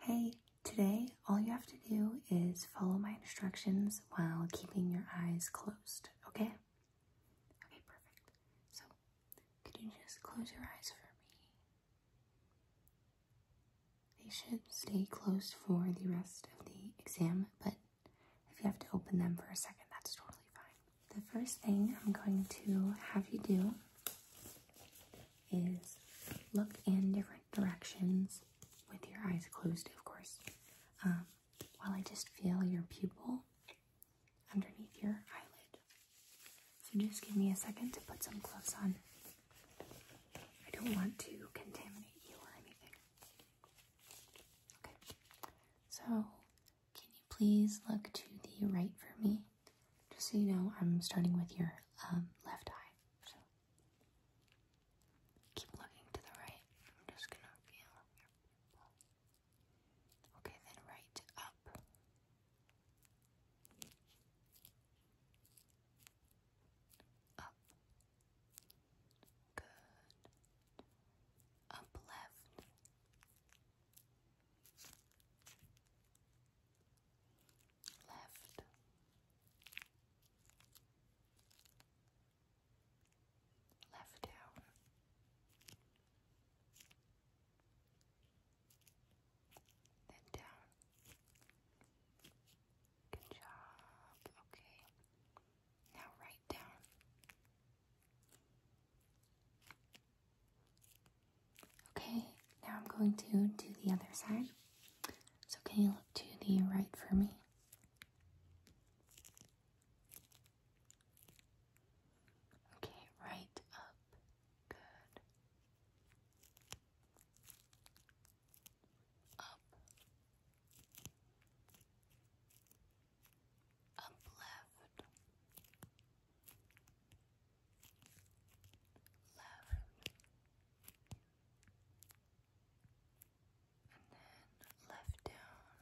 Hey, today all you have to do is follow my instructions while keeping your eyes closed, okay? Okay, perfect. So, could you just close your eyes for me? They should stay closed for the rest of the exam, but if you have to open them for a second, that's totally fine. The first thing I'm going to have you do is look in different directions with your eyes closed, of course, um, while I just feel your pupil underneath your eyelid. So just give me a second to put some gloves on. I don't want to contaminate you or anything. Okay, so can you please look to the right for me? Just so you know, I'm starting with your um, left eye. So keep looking to the right. I'm just gonna feel Okay, then right up. Up. Good. Up left left. Left down. Then down. Good job. Okay. Now right down. Okay, now I'm going to do the other side. So, can you look to the right for me? Okay, right up. Good. Up. Up left love, and then left down,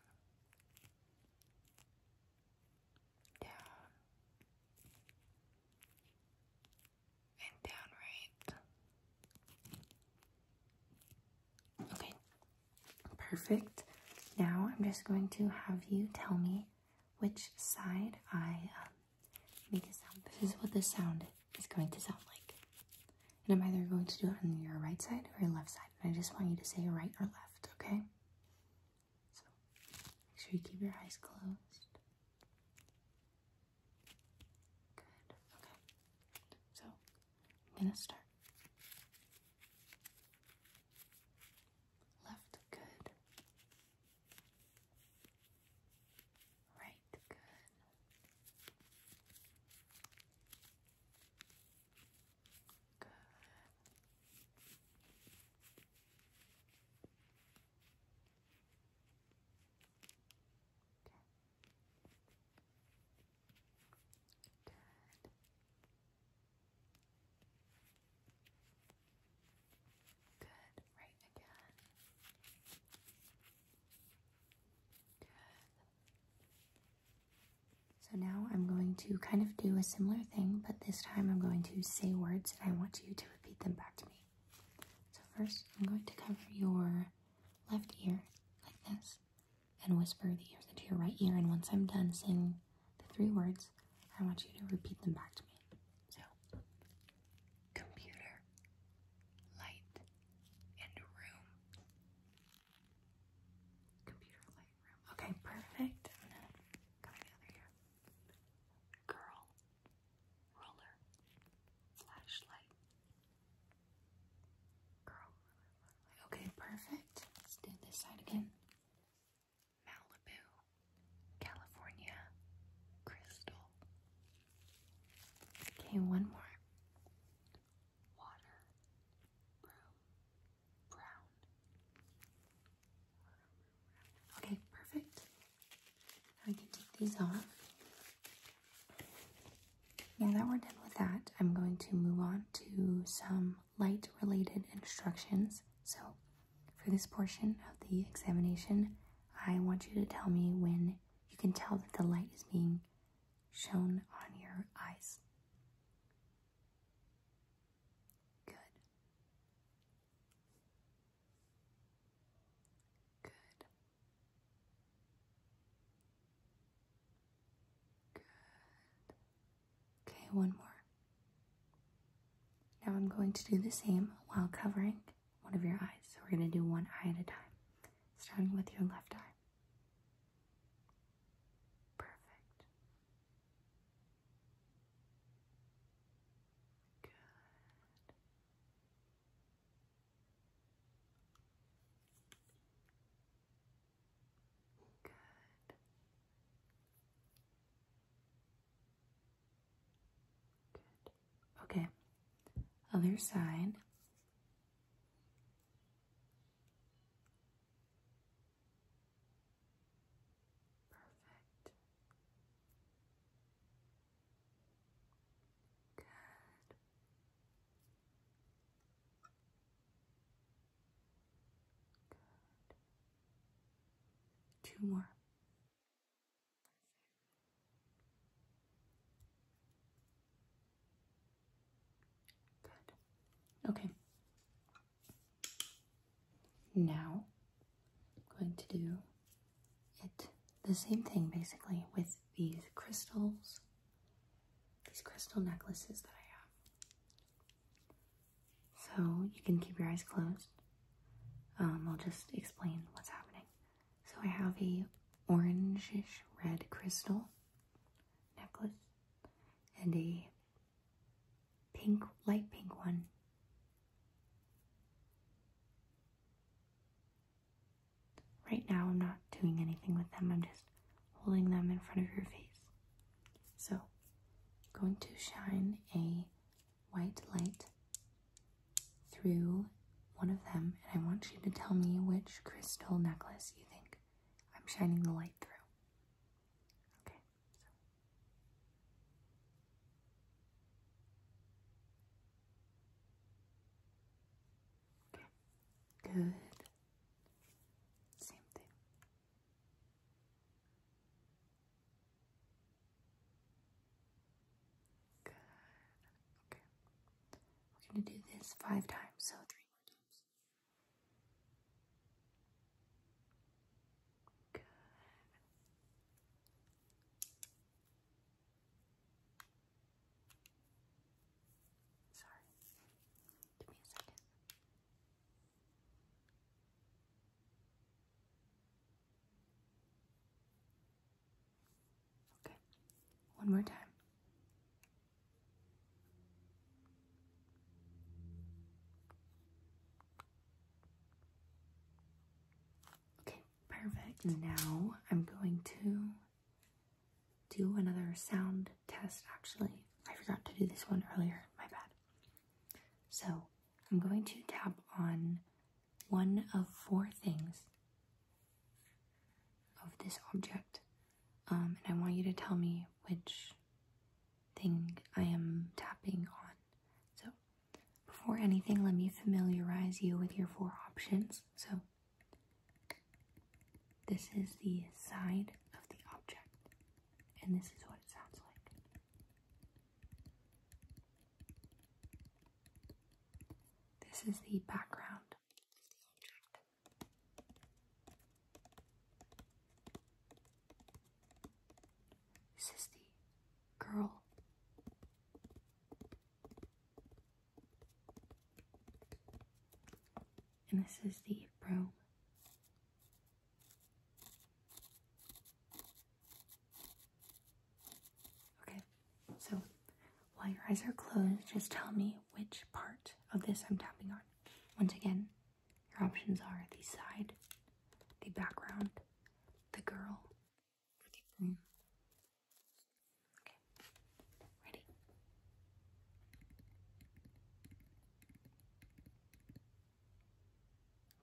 down, and down right. Okay, perfect. Now I'm just going to have you tell me which side I make um, a sound. This is what the sound is going to sound like. And I'm either going to do it on your right side or your left side. And I just want you to say right or left, okay? So make sure you keep your eyes closed. Good. Okay. So I'm going to start. Left, good. Right, good. Good. Okay. Good. Good, right again. Good. So now I'm going to kind of do a similar thing, but this time I'm going to say words and I want you to repeat them back to me. So first, I'm going to cover your left ear like this and whisper the words into your right ear. And once I'm done saying the three words, I want you to repeat them back to me. So, computer, light, and room. Computer, light, room. Okay, perfect. i the other ear. Girl, roller, flashlight. Girl, roller, flashlight. Okay, perfect. Let's do this side again. Malibu, California, Crystal. Okay, one more. Water, brown, Okay, perfect. Now can take these off. Now that we're done with that, I'm going to move on to some light related instructions. So, for this portion of the examination, I want you to tell me when you can tell that the light is being shown on your eyes. Good. Good. Good. Okay, one more. Now I'm going to do the same while covering one of your eyes. So we're going to do one eye at a time, starting with your left eye. Perfect. Good. Good. Good. Okay. Other side. Perfect. Good. Two more. Good. Okay. Now, I'm going to do it the same thing basically with these crystals these crystal necklaces that I have. So you can keep your eyes closed. Um, I'll just explain what's happening. So I have a orangish red crystal necklace and a pink, light pink one. Right now I'm not doing anything with them, I'm just holding them in front of your face. So, going to shine a white light through one of them, and I want you to tell me which crystal necklace you think I'm shining the light through. Okay. Good. Same thing. Good. Okay. We're going to do this five times, so three more times. Good. Sorry. Give me a second. Okay. One more time. Okay, perfect. Now I'm going to do another sound test actually. I forgot to do this one earlier, my bad. So I'm going to tap on one of four things of this object. Um, and I want you to tell me which thing I am tapping on. So before anything, let me familiarize you with your four options. So this is the side of the object, and this is what it sounds like. This is the background This is the girl. And this is the bro. Okay, so while your eyes are closed, just tell me which part of this I'm tapping on. Once again, your options are the side, the background, the girl, the broom. Okay, ready?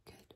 Good. Good.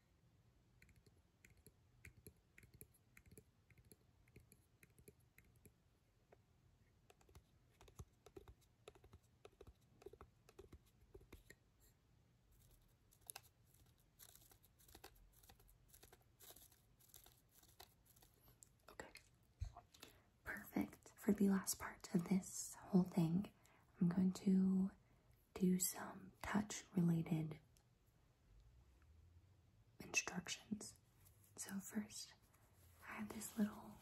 Okay, perfect. For the last part of this whole thing, I'm going to do some touch related instructions. So, first, I have this little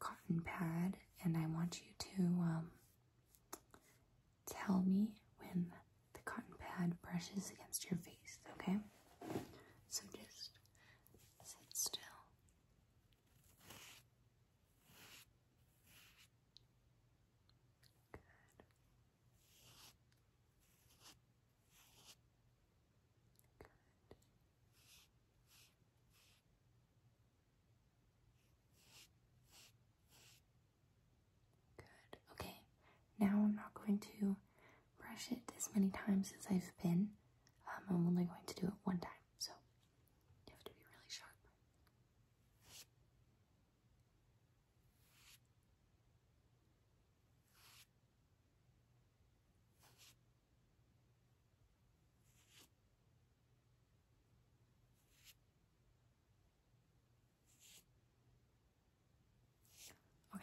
cotton pad, and I want you to um, tell me when the cotton pad brushes against your face, okay? So, just sit still. Good. Okay, now I'm not going to brush it as many times as I've been. Um, I'm only going to do it one time. So you have to be really sharp.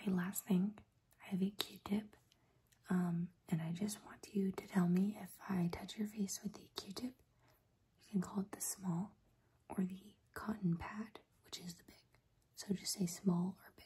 Okay, last thing, I have a Q-tip um, and I just want you to tell me if I touch your face with the Q-tip, you can call it the small, or the cotton pad, which is the big. So just say small or big.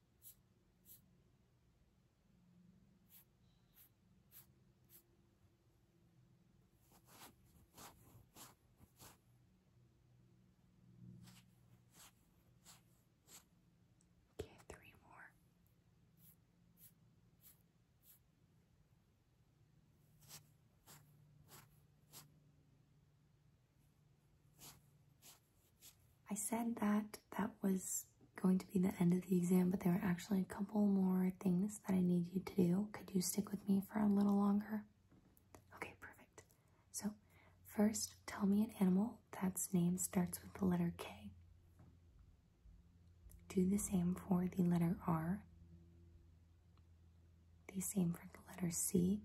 Okay, three more. I said that that was going to be the end of the exam, but there were actually a couple more things that I need you to do. Could you stick with me for a little longer? Okay, perfect. So, first, tell me an animal that's name starts with the letter K. Do the same for the letter R. The same for the letter C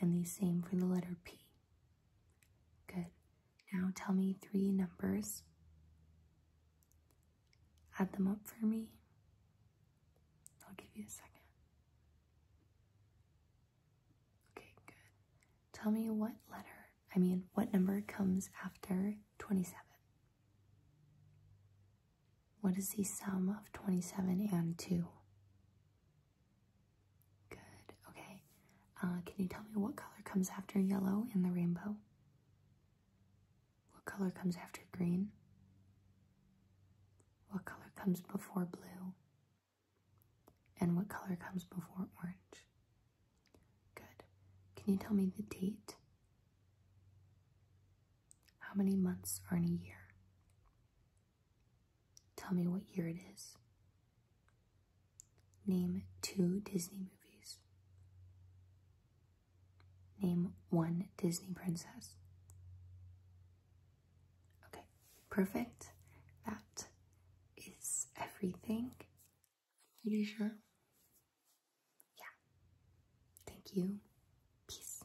and the same for the letter P. Good. Now tell me three numbers. Add them up for me. I'll give you a second. Okay, good. Tell me what letter, I mean, what number comes after 27. What is the sum of 27 and 2? Good, okay. Uh, can you tell me what color comes after yellow in the rainbow? What color comes after green? What color comes before blue? And what color comes before orange? Good. Can you tell me the date? How many months are in a year? Tell me what year it is. Name two Disney movies. Name one Disney princess. Okay, perfect. That is everything. I'm pretty sure. Yeah. Thank you. Peace.